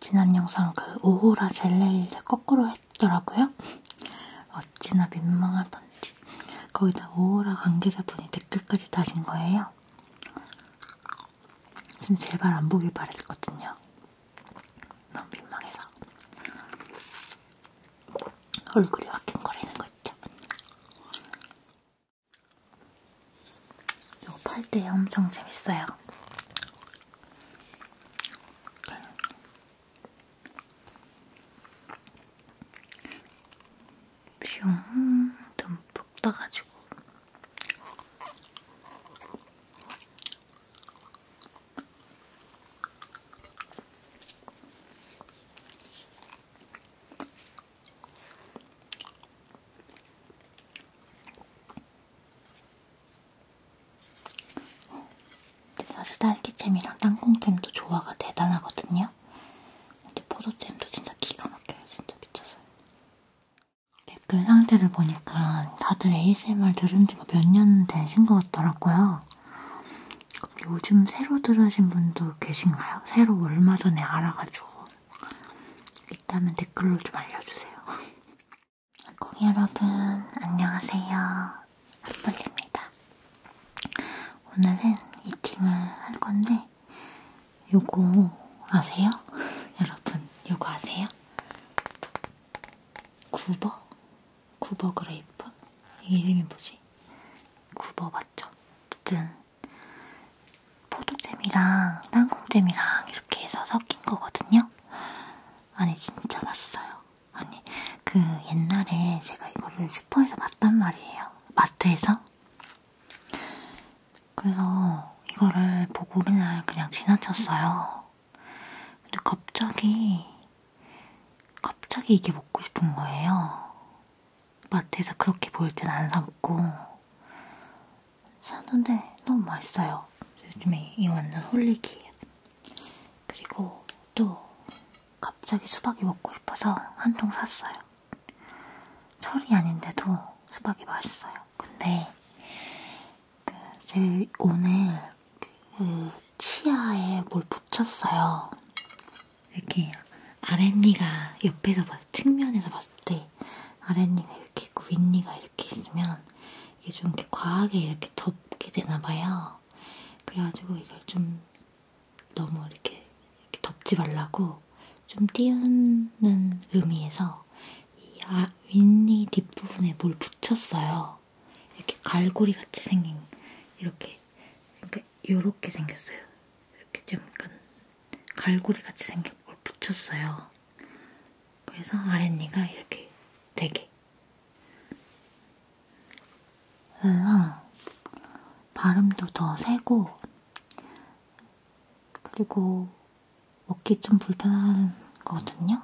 지난 영상 그 오호라 젤레이를 거꾸로 했더라고요. 어찌나 민망하던지. 거기다 오호라 관계자분이 댓글까지 다신 거예요. 진짜 제발 안 보길 바랬거든요. 너무 민망해서. 얼굴이 와킹거리는 거 있죠? 이거 팔 때 엄청 재밌어요. 뿅 듬뿍 떠가지고 어, 근데 사실 딸기잼이랑 땅콩잼도 조화가 대단하거든요. 근데 포도잼도 진짜 기가 막혀요. 진짜 미쳤어요. 댓글 상태를 보니까 다들 ASMR 들은 지가 뭐 몇년 되신 것 같더라고요. 요즘 새로 들으신 분도 계신가요? 새로 얼마 전에 알아가지고 있다면 댓글로 좀 알려주세요. 콩 여러분 안녕하세요. 한돌입니다 오늘은 이팅을 할 건데 요거 아세요? 여러분 요거 아세요? 구버? 구버 그레이프? 이 이름이 뭐지? 구버 맞죠? 어쨌든 포도잼이랑 땅콩잼이랑 이렇게 해서 섞인 거거든요. 아니 진짜 맛있어요. 아니 그 옛날에 제가 이거를 슈퍼에서 봤단 말이에요. 마트에서. 그래서 이거를 보고 맨날 그냥 지나쳤어요. 근데 갑자기 갑자기 이게 먹고 싶은 거예요. 마트에서 그렇게 보일 땐안 사먹고 샀는데 너무 맛있어요. 요즘에 이 완전 홀리기예요. 그리고 또 갑자기 수박이 먹고 싶어서 한 통 샀어요. 철이 아닌데도 수박이 맛있어요. 근데 그 제가 오늘 그 치아에 뭘 붙였어요. 이렇게 아랫니가 옆에서 봤, 측면에서 봤을 때 아랫니가 이렇게 있고 윗니가 이렇게 있으면 이게 좀 이렇게 과하게 이렇게 덮게 되나봐요. 그래가지고 이걸 좀 너무 이렇게, 이렇게 덮지 말라고 좀 띄우는 의미에서 이 아, 윗니 뒷부분에 뭘 붙였어요. 이렇게 갈고리 같이 생긴 이렇게 그러니까 이렇게 생겼어요. 이렇게 좀 약간 갈고리 같이 생긴 걸 붙였어요. 그래서 아랫니가 이렇게 되게. 그래서 발음도 더 세고, 그리고 먹기 좀 불편한 거거든요?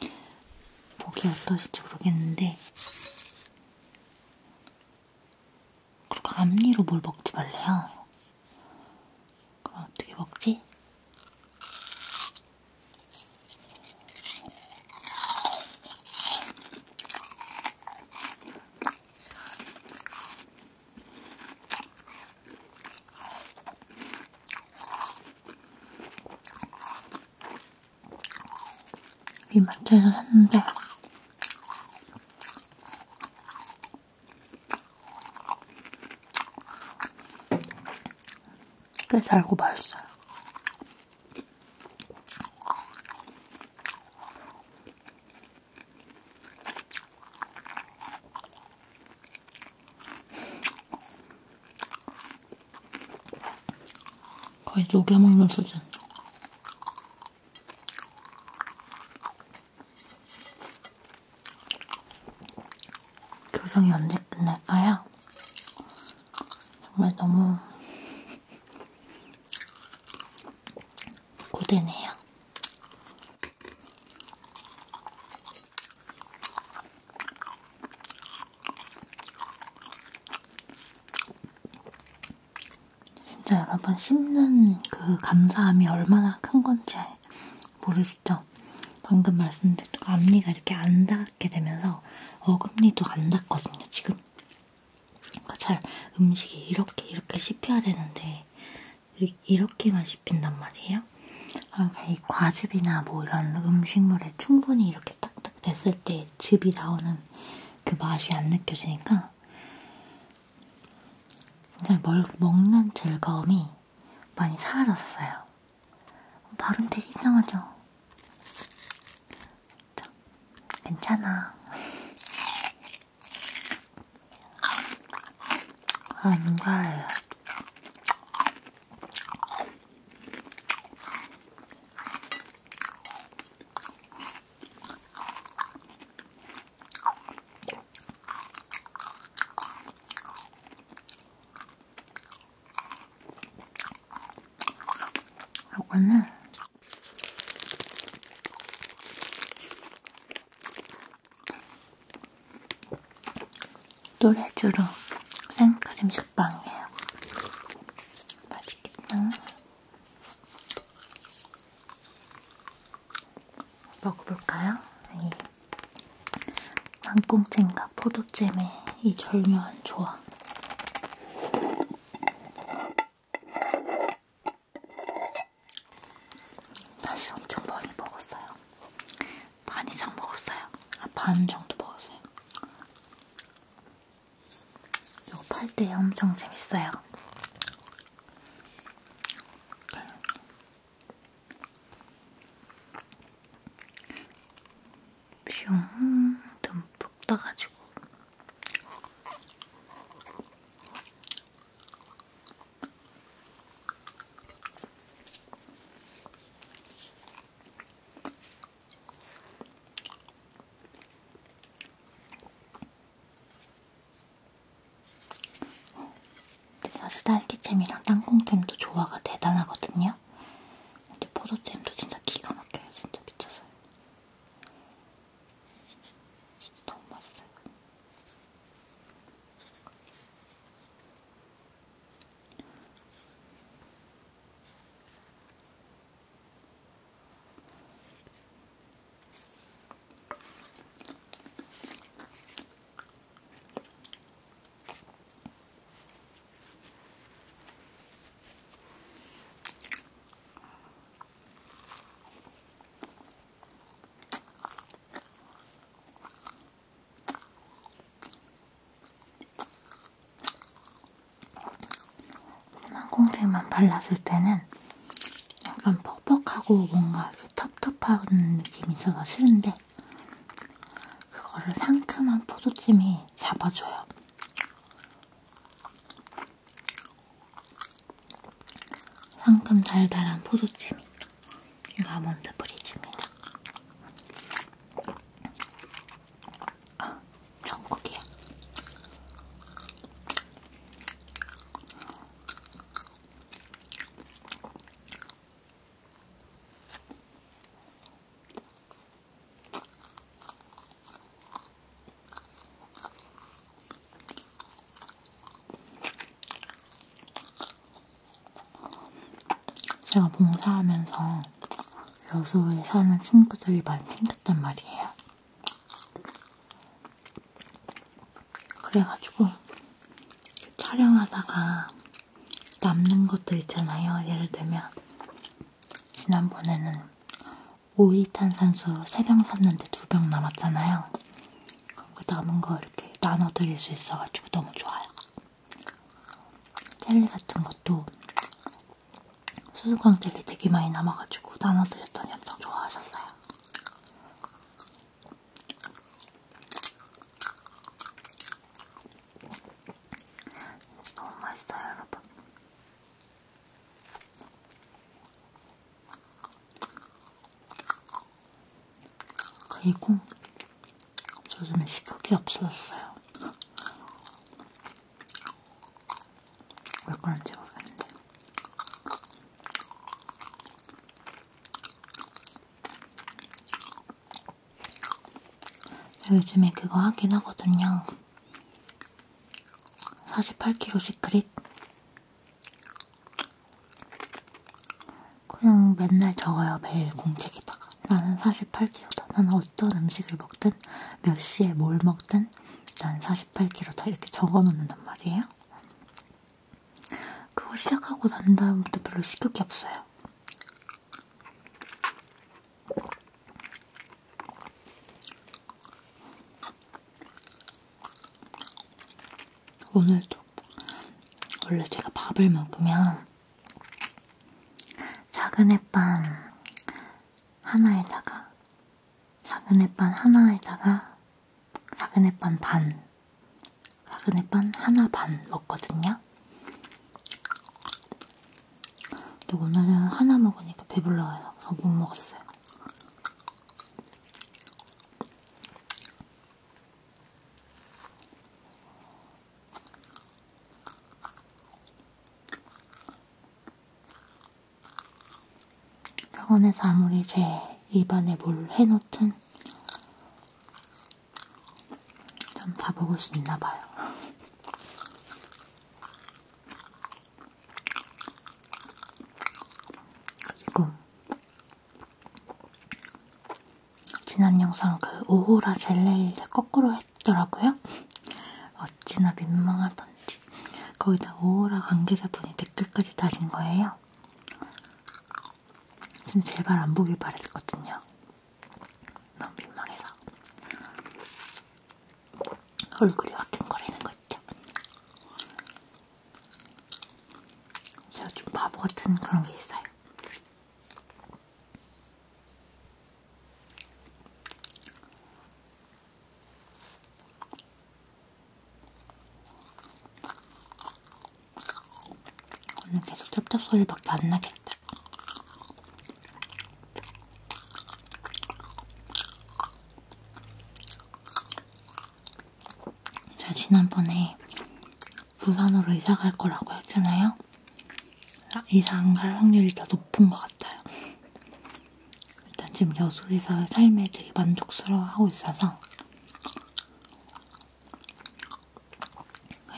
보기 어떠실지 모르겠는데, 그리고 앞니로 뭘 먹지 말래요. 그럼 어떻게 먹지? 이마트에서 샀는데 꽤 달고 맛있어요. 거의 녹여먹는 수준. 교정이 언제 끝날까요? 정말 너무 고되네요. 진짜 여러분 씹는 그 감사함이 얼마나 큰 건지 모르시죠? 방금 말씀드린 앞니가 이렇게 안 닿게 되면서 어금니도 안 닿거든요, 지금. 그러니까 잘 음식이 이렇게 이렇게 씹혀야 되는데 이렇게만 씹힌단 말이에요. 그러니까 이 과즙이나 뭐 이런 음식물에 충분히 이렇게 딱딱 됐을 때 즙이 나오는 그 맛이 안 느껴지니까 그냥 먹는 즐거움이 많이 사라졌었어요. 발음 되게 이상하죠? 괜찮아. 안 아, 가요. 요거는 또레쥬로 생크림 식빵이에요. 맛있겠다. 먹어볼까요? 예. 땅콩잼과 포도잼의 이 절묘한 조합. 사실 엄청 많이 먹었어요. 반 이상 먹었어요. 아, 반 정도 먹었어요. 이거 팔 때 엄청 재밌어요. 네. 뿅 듬뿍 떠가지고 사실 딸기잼이랑 땅콩잼도 조화가 대단하거든요. 근데 포도잼도 진짜 기가 막혀요. 진짜 미쳤어요. 진짜 너무 맛있어요. 항공색만 발랐을 때는 약간 퍽퍽하고 뭔가 텁텁한 느낌이 있어서 싫은데 그거를 상큼한 포도찜이 잡아줘요. 상큼 달달한 포도찜이 이거 아몬드 브리즈입니다. 아, 전국이야. 제가 봉사하면서 여수에 사는 친구들이 많이 생겼단 말이에요. 그래가지고 촬영하다가 남는 것들 있잖아요. 예를 들면 지난번에는 오이탄산수 3병 샀는데 2병 남았잖아요. 그럼 그 남은 거 이렇게 나눠 드릴 수 있어가지고 너무 좋아요. 젤리 같은 것도 수수광 젤리 되게 많이 남아가지고 나눠 드렸더니 엄청 좋아하셨어요. 너무 맛있어요, 여러분. 그리고 요즘에 식욕이 없어졌어요. 왜 그런지 모르겠는데. 요즘에 그거 하긴 하거든요. 48kg 시크릿. 그냥 맨날 적어요. 매일 공책에다가. 나는 48kg다. 나는 어떤 음식을 먹든 몇 시에 뭘 먹든 난 48kg다. 이렇게 적어놓는단 말이에요. 그거 시작하고 난 다음부터 별로 시킬 게 없어요. 오늘도 원래 제가 밥을 먹으면 작은 햇반 하나에다가 작은 햇반 하나에다가 작은 햇반 반 라그네빵 하나 반 먹거든요. 근데 오늘은 하나 먹으니까 배불러요. 그래서 아, 못 먹었어요. 병원에서 아무리 제 입안에 뭘 해놓든 좀 잡아볼 수 있나 봐요. 그리고 지난 영상 그 오호라 젤레이를 거꾸로 했더라고요. 어찌나 민망하던지 거기다 오호라 관계자분이 댓글까지 다신 거예요. 진짜 제발 안 보길 바랬거든요. 너무 민망해서 음. 얼굴이 화끈거리는 거 있죠? 제가 좀 바보 같은 그런 게 있어요. 오늘 계속 쩝쩝 소리밖에 안 나겠다. 제가 지난번에 부산으로 이사 갈 거라고 했잖아요. 아, 이사 안갈 확률이 더 높은 것 같아요. 일단 지금 여수에서 삶에 되게 만족스러워하고 있어서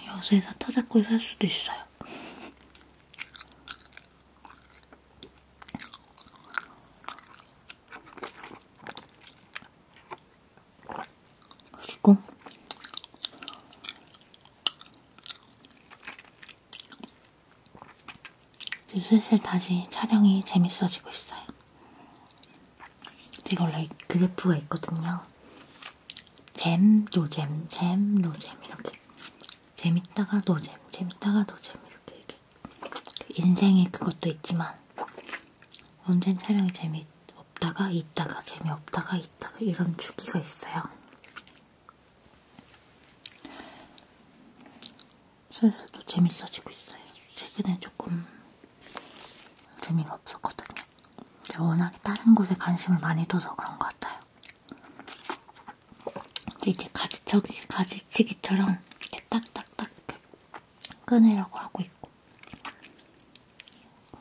여수에서 타자꾸를 살 수도 있어요. 그리고 슬슬 다시 촬영이 재밌어지고 있어요. 제가 원래 그래프가 있거든요. 잼, 노잼, 잼, 노잼 이렇게 재밌다가 노잼, 재밌다가 노잼 이렇게 이렇게 인생의 그것도 있지만 언젠 촬영이 재미없다가 있다가 재미없다가 있다가 이런 주기가 있어요. 슬슬 또 재밌어지고 있어요. 최근에 조금 재미가 없었거든요. 제가 워낙 다른 곳에 관심을 많이 둬서 그런 것 같아요. 근데 이제 가지치기, 가지치기처럼 이렇게 딱딱딱 이렇게 끊으려고 하고 있고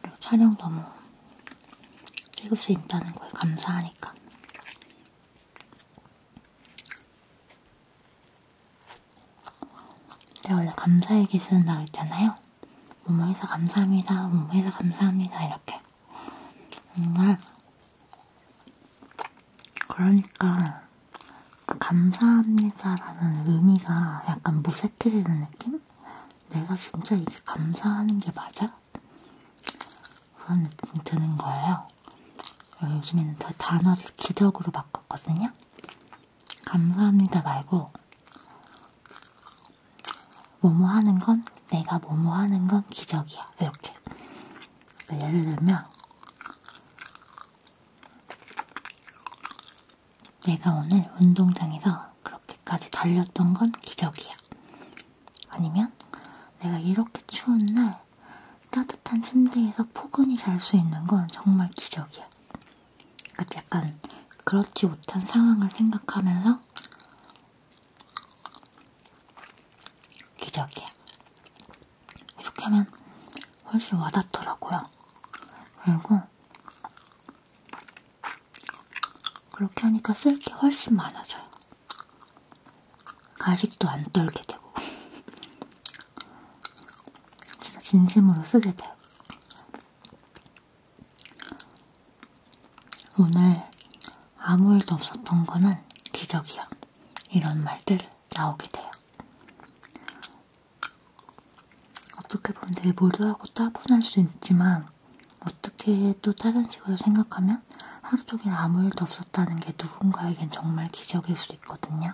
그리고 촬영 너무 뭐 찍을 수 있다는 거에 감사하니까 제가 원래 감사일기 쓰는 날 있잖아요. 엄마에서 감사합니다. 엄마에서 감사합니다. 이렇게. 정말 그러니까 그 감사합니다라는 의미가 약간 무색해지는 느낌? 내가 진짜 이게 감사하는 게 맞아? 그런 느낌이 드는 거예요. 어, 요즘에는 더 단어를 기덕으로 바꿨거든요. 감사합니다 말고 뭐뭐 하는 건 내가 뭐뭐 하는 건 기적이야 이렇게 그러니까 예를 들면 내가 오늘 운동장에서 그렇게까지 달렸던 건 기적이야 아니면 내가 이렇게 추운 날 따뜻한 침대에서 포근히 잘 수 있는 건 정말 기적이야 약간 그렇지 못한 상황을 생각하면서 기적이야. 이렇게 하면 훨씬 와닿더라고요. 그리고 그렇게 하니까 쓸 게 훨씬 많아져요. 가식도 안 떨게 되고 진짜 진심으로 쓰게 돼요. 오늘 아무 일도 없었던 거는 기적이야. 이런 말들 나오게 돼요. 어떻게 보면 되게 모두하고 따분할 수 있지만 어떻게 또 다른 식으로 생각하면 하루 종일 아무 일도 없었다는 게 누군가에겐 정말 기적일 수도 있거든요.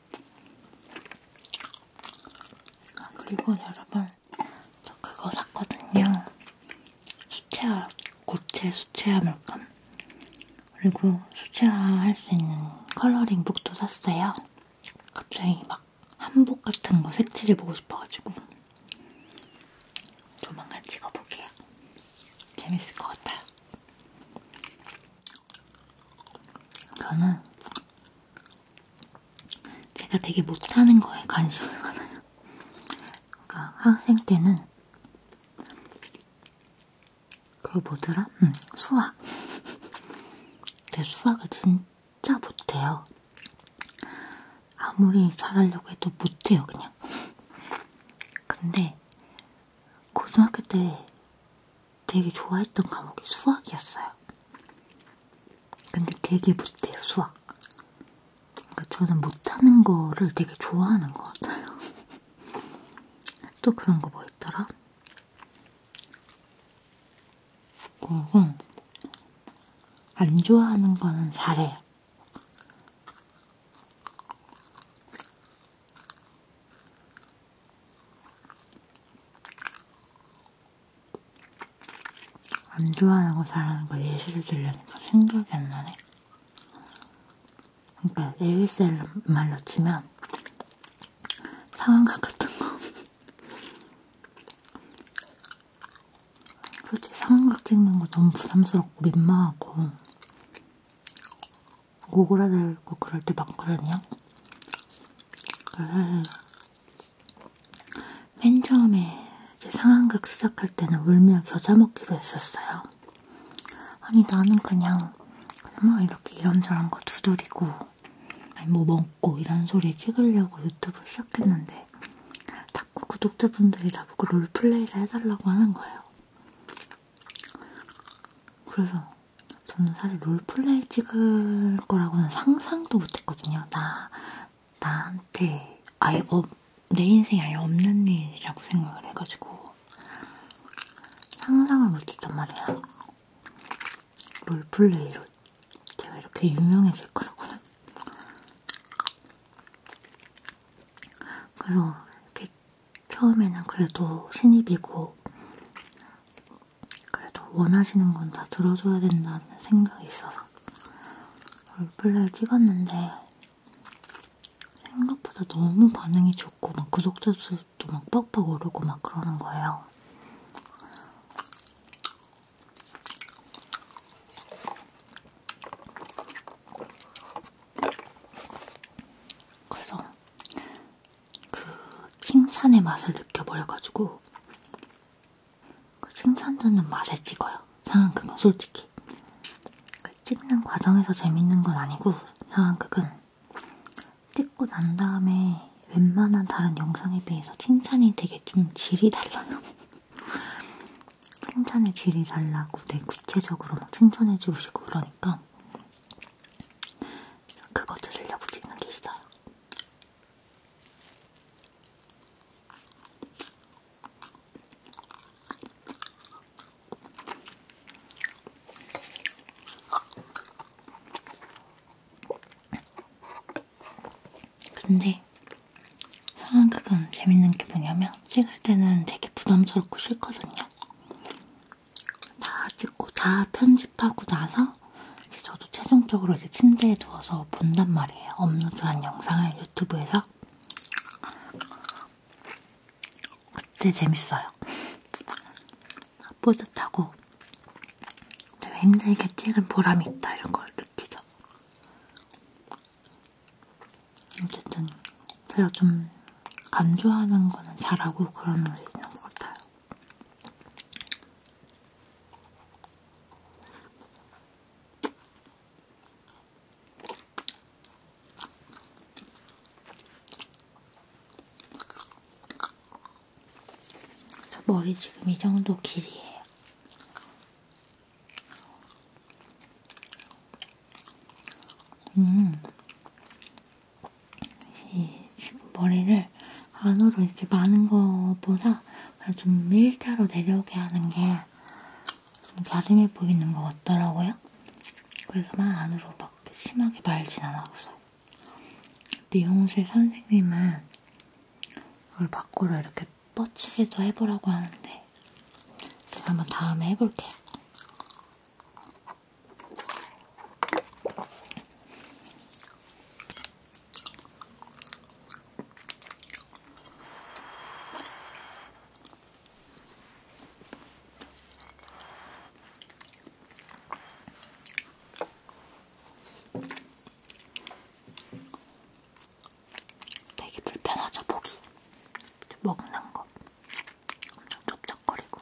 아, 그리고 여러분, 저 그거 샀거든요. 수채화, 고체 수채화 물감. 그리고 수채화 할 수 있는 컬러링북도 샀어요. 갑자기 막 한복 같은 거 색칠해 보고 싶어가지고. 조만간 찍어볼게요. 재밌을 것 같아요. 저는 제가 되게 못하는 거에 관심이 많아요. 그러니까 학생 때는 그걸 뭐더라? 응, 수학. 제가 수학을 진짜 못해요. 아무리 잘하려고 해도 못해요, 그냥. 근데 고등학교 때 되게 좋아했던 과목이 수학이었어요. 근데 되게 못해요, 수학. 그러니까 저는 못하는 거를 되게 좋아하는 것 같아요. 또 그런 거 뭐 있더라? 그리고 어, 안 좋아하는 거는 잘해요. 안 좋아하는 거 잘하는 걸 예시를 들려니까 생각이 안 나네. 그러니까 ASL 말로 치면 상황극 같은 거. 솔직히 상황극 찍는 거 너무 부담스럽고 민망하고 오그라들고 그럴 때 많거든요. 아, 맨 처음에 제 상황극 시작할 때는 울며 겨자 먹기로 했었어요. 아니 나는 그냥 막 이렇게 이런저런 거 두드리고 아니 뭐 먹고 이런 소리 찍으려고 유튜브 시작했는데 자꾸 구독자분들이 나보고 롤플레이를 해달라고 하는 거예요. 그래서 저는 사실 롤플레이 찍을 거라고는 상상도 못했거든요. 나, 나한테 아예 어, 내 인생이 아예 없는 일이라고 생각을 해가지고 상상을 못했단 말이야. 롤플레이로 제가 이렇게 유명해질 거라고는. 그래서 이렇게 처음에는 그래도 신입이고 그래도 원하시는 건 다 들어줘야 된다는 생각이 있어서 롤플레이 찍었는데 생각보다 너무 반응이 좋고 막 구독자 수도 막 빡빡 오르고 막 그러는 거예요. 그래서 그 칭찬의 맛을 느껴버려가지고 그 칭찬 듣는 맛에 찍어요. 상황극은 솔직히 그 찍는 과정에서 재밌는 건 아니고 상황극은 찍고 난 다음에 웬만한 다른 영상에 비해서 칭찬이 되게 좀 질이 달라요. 칭찬의 질이 달라고 되게 구체적으로 막 칭찬해 주시고 그러니까 그거 들으려고 찍는 게 있어요. 근데 사랑 그건 재밌는 게 뭐냐면 찍을 때는 되게 부담스럽고 싫거든요. 다 찍고 다 편집 편집하고 나서 이제 저도 최종적으로 이제 침대에 누워서 본단 말이에요. 업로드한 영상을 유튜브에서. 그때 재밌어요. 뿌듯하고 되게 힘들게 찍은 보람이 있다 이런 걸 느끼죠. 어쨌든 제가 좀 간주하는 거는 잘하고 그런 면이 있는 것 같아요. 저 머리 지금 이 정도 길이에요. 음, 이 지금 머리를 안으로 이렇게 많은 거보다 좀 일자로 내려오게 하는 게좀 갸름해 보이는 것 같더라고요. 그래서 막 안으로 막 심하게 말진 않았어요. 미용실 선생님은 이걸 밖으로 이렇게 뻗치기도 해보라고 하는데 제가 한번 다음에 해볼게요. 되게 불편하죠, 보기. 먹는 거. 엄청 쩝쩝거리고.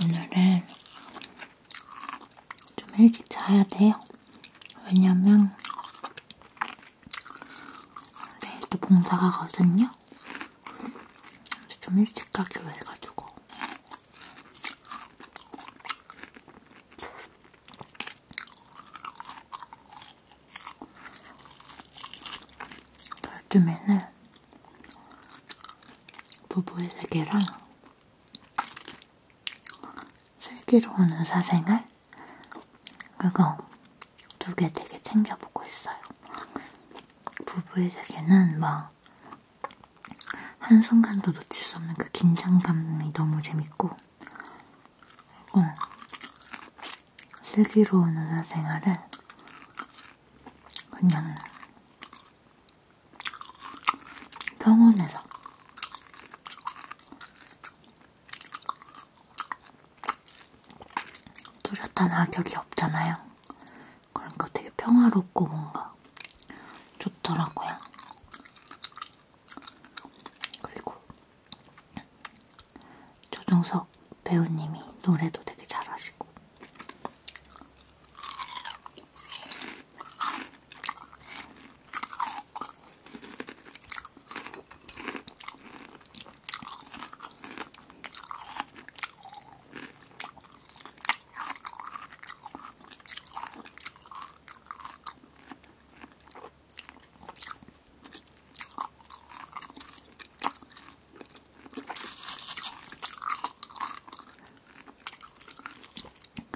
오늘은 좀 일찍 자야 돼요. 왜냐면 내일 또 봉사 가거든요. 좀 일찍 가기로 해가지고 요즘에는 부부의 세계랑 슬기로우는 사생활 그거 두개 되게 챙겨보고 있어요. 부부의 세계는 막 한순간도 놓칠 수 없는 그 긴장감이 너무 재밌고 어. 슬기로운 의사생활은 그냥 병원에서 뚜렷한 악역이 없잖아요. 그러니까 되게 평화롭고 뭔가 좋더라고요. 그리고 조종석 배우님이 노래도 되게 잘하시고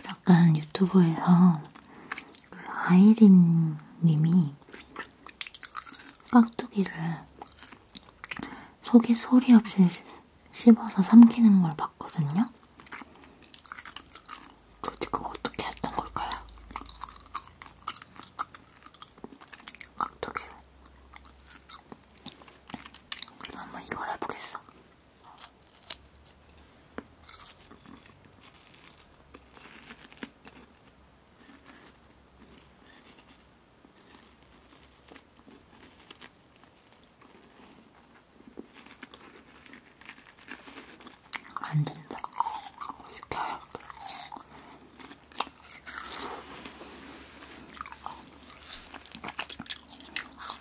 약간 유튜브에서 그 아이린 님이 깍두기를 속에 소리 없이 씹어서 삼키는 걸 봤거든요. 도대체 그거 어떻게 했던 걸까요? 어떻게? 한번 이걸 해보겠어. 안 된다. 시켜야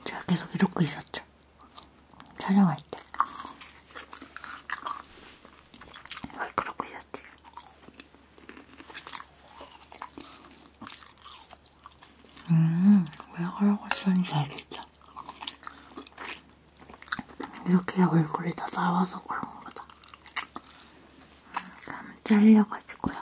제가 계속 이러고 있었죠. 촬영할 때. 왜 그러고 있었어요? 같아요. 음, 왜 하라고 하는지 알겠죠? 이렇게 얼굴이 다 나와서 그런 거다. 음, 감 잘려가지고요.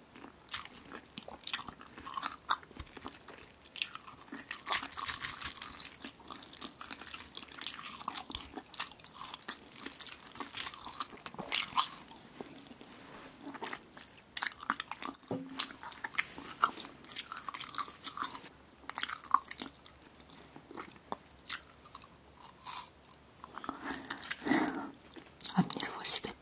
앞니를 보시겠다.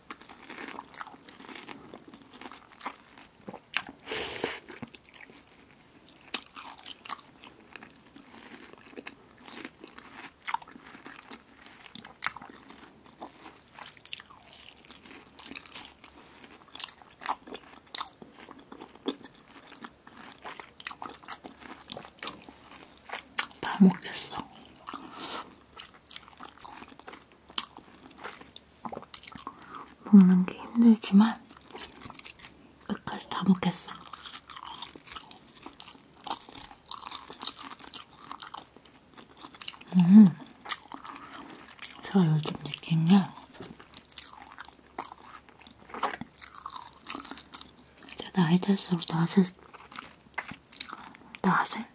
다 먹겠어. 먹는 게 힘들지만 끝까지 다 먹겠어. 음, 제가 요즘 느낀 게 나이 들수록 낮에 낯을,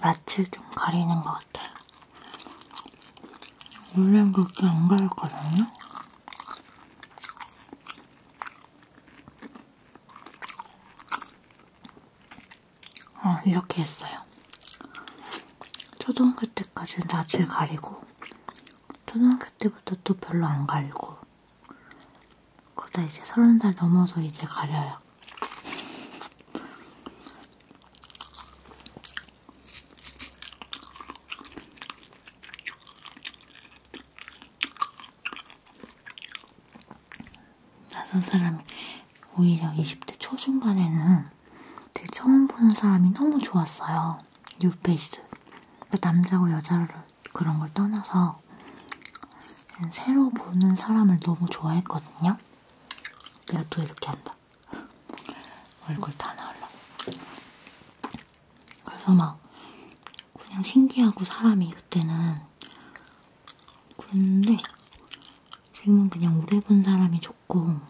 낯을 좀 가리는 것 같아요. 원래는 그렇게 안 가렸거든요? 어, 이렇게 했어요. 초등학교 때까지 낯을 가리고 초등학교 때부터 또 별로 안 가리고 그러다 이제 서른 살 넘어서 이제 가려요. 낯선 사람이 오히려 20대 초중반에는 되게 처음 보는 사람이 너무 좋았어요. 뉴페이스. 그 남자고 여자로 그런 걸 떠나서 새로 보는 사람을 너무 좋아했거든요. 내가 또 이렇게 한다. 얼굴 다 나올라. 그래서 막 그냥 신기하고 사람이 그때는 그랬는데 지금은 그냥 오래 본 사람이 좋고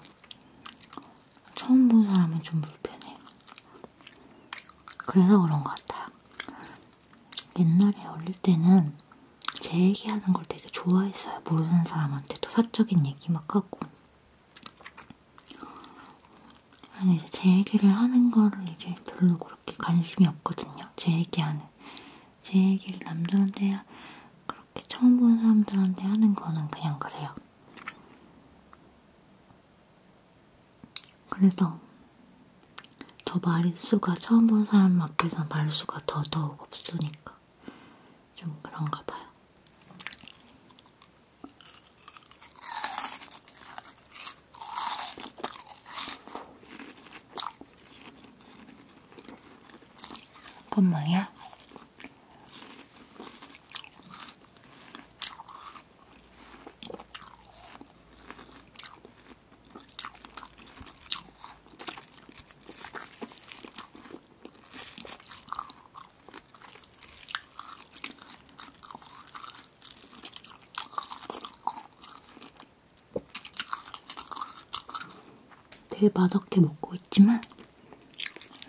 처음 본 사람은 좀 불편해. 그래서 그런 것 같아요. 옛날에 어릴 때는 제 얘기하는 걸 되게 좋아했어요. 모르는 사람한테도 사적인 얘기 막 하고. 아니, 이제 제 얘기를 하는 거를 이제 별로 그렇게 관심이 없거든요. 제 얘기하는. 제 얘기를 남들한테 그렇게 처음 본 사람들한테 하는 거는 그냥 그래요. 그래서 더 말수가 처음 본 사람 앞에서 말수가 더더욱 없으니까 좀 그런가 봐요. 그건 뭐야? 되게 맛없게 먹고 있지만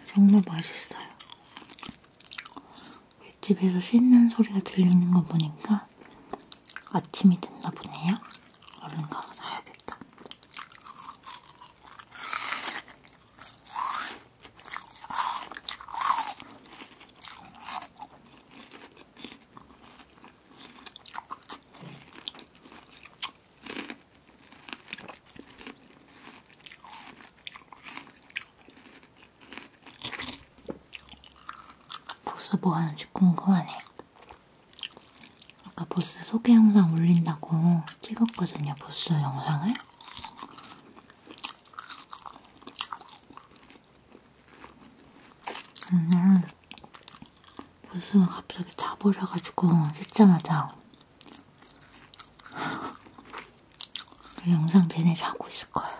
정말 맛있어요. 윗집에서 씻는 소리가 들리는 거 보니까 아침이 됐나 보네요. 얼른 가서 사야겠다. 보스 뭐 하는지 궁금하네. 아까 보스 소개 영상 올린다고 찍었거든요, 보스 영상을. 오늘 음, 보스가 갑자기 자버려가지고 찍자마자 그 영상 내내 자고 있을 거예요.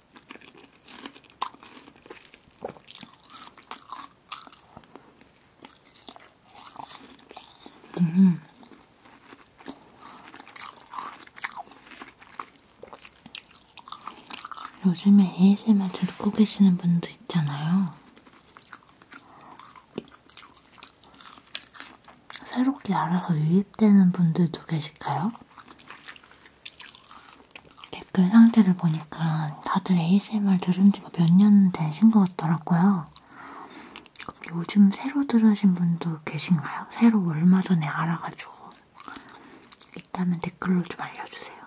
음. 요즘에 ASMR 듣고 계시는 분도 있잖아요. 새롭게 알아서 유입되는 분들도 계실까요? 댓글 상태를 보니까 다들 ASMR 들은 지가 뭐 몇년 되신 것 같더라고요. 요즘 새로 들으신 분도 계신가요? 새로 얼마 전에 알아가지고 있다면 댓글로 좀 알려주세요.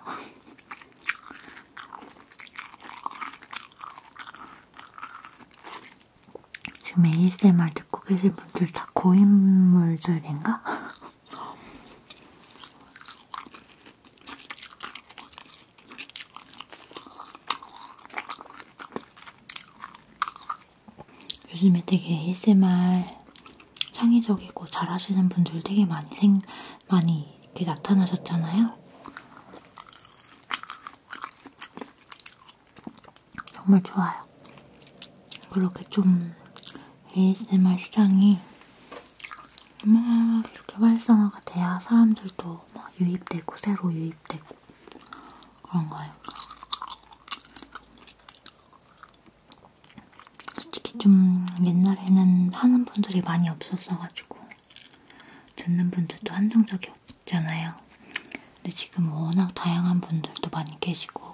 지금 ASMR 듣고 계신 분들 다 고인물들인가? 요즘에 되게 ASMR 창의적이고 잘하시는 분들 되게 많이 생, 많이 이렇게 나타나셨잖아요. 정말 좋아요. 그렇게 좀 ASMR 시장이 막 이렇게 활성화가 돼야 사람들도 막 유입되고 새로 유입되고 그런가요? 솔직히 좀 옛날에는 하는 분들이 많이 없었어가지고 듣는 분들도 한정적이 없잖아요. 근데 지금 워낙 다양한 분들도 많이 계시고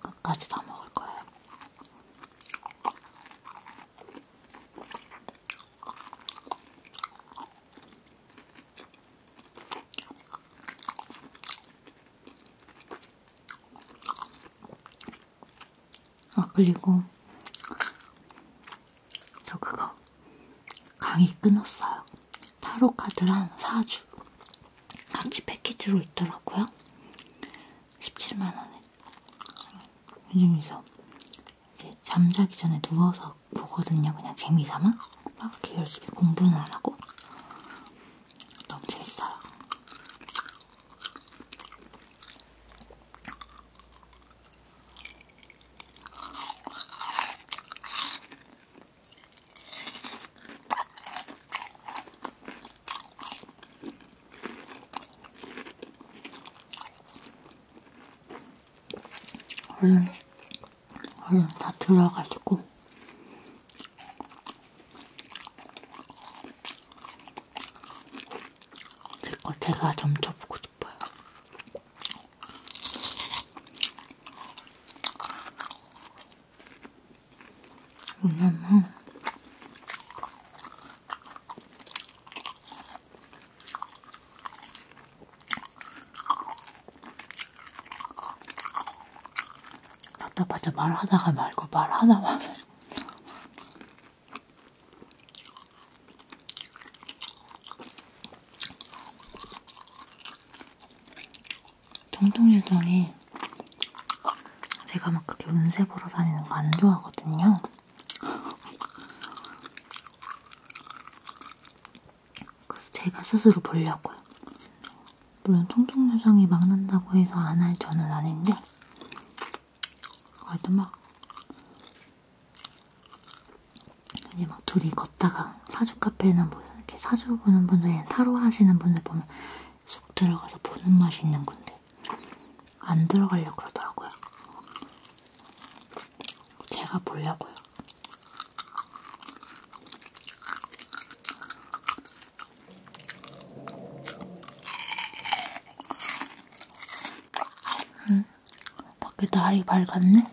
끝까지 다 먹을 거예요. 아, 그리고 저 그거 강의 끊었어요. 타로 카드랑 사주 같이 패키지로 있더라고요. 17만원에. 요즘에서 이제 잠자기 전에 누워서 보거든요. 그냥 재미삼아. 막 이렇게 열심히 공부는 안 하고. 너무 재밌어요. 얼른, 음. 얼른 음, 다 들어가지고. 제거 제가 점쳐보고 싶어요. 왜냐면 답답하자 말하다가 말고 말하다 말고 통통유돌이 제가 막 그렇게 운세 보러 다니는 거 안 좋아하거든요. 그래서 제가 스스로 보려고요. 물론 통통유정이 막 난다고 해서 안 할 저는 아닌데 그래도 막 이제 막 둘이 걷다가 사주 카페나 뭐 이렇게 사주 보는 분들이나 타로 하시는 분들 보면 쑥 들어가서 보는 맛이 있는 건데 안 들어가려고 그러더라고요. 제가 보려고요. 음, 밖에 날이 밝았네.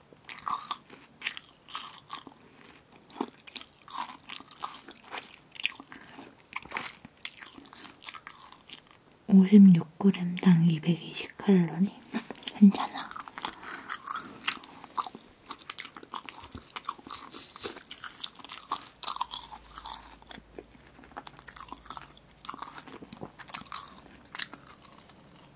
56g당 220칼로리? 괜찮아.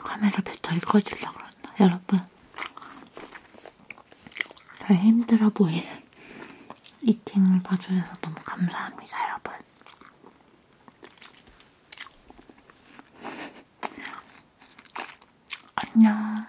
카메라 배터리 꺼질라 그랬나? 여러분 잘 힘들어 보이는 이팅을 봐주셔서 너무 감사합니다 여러분 안녕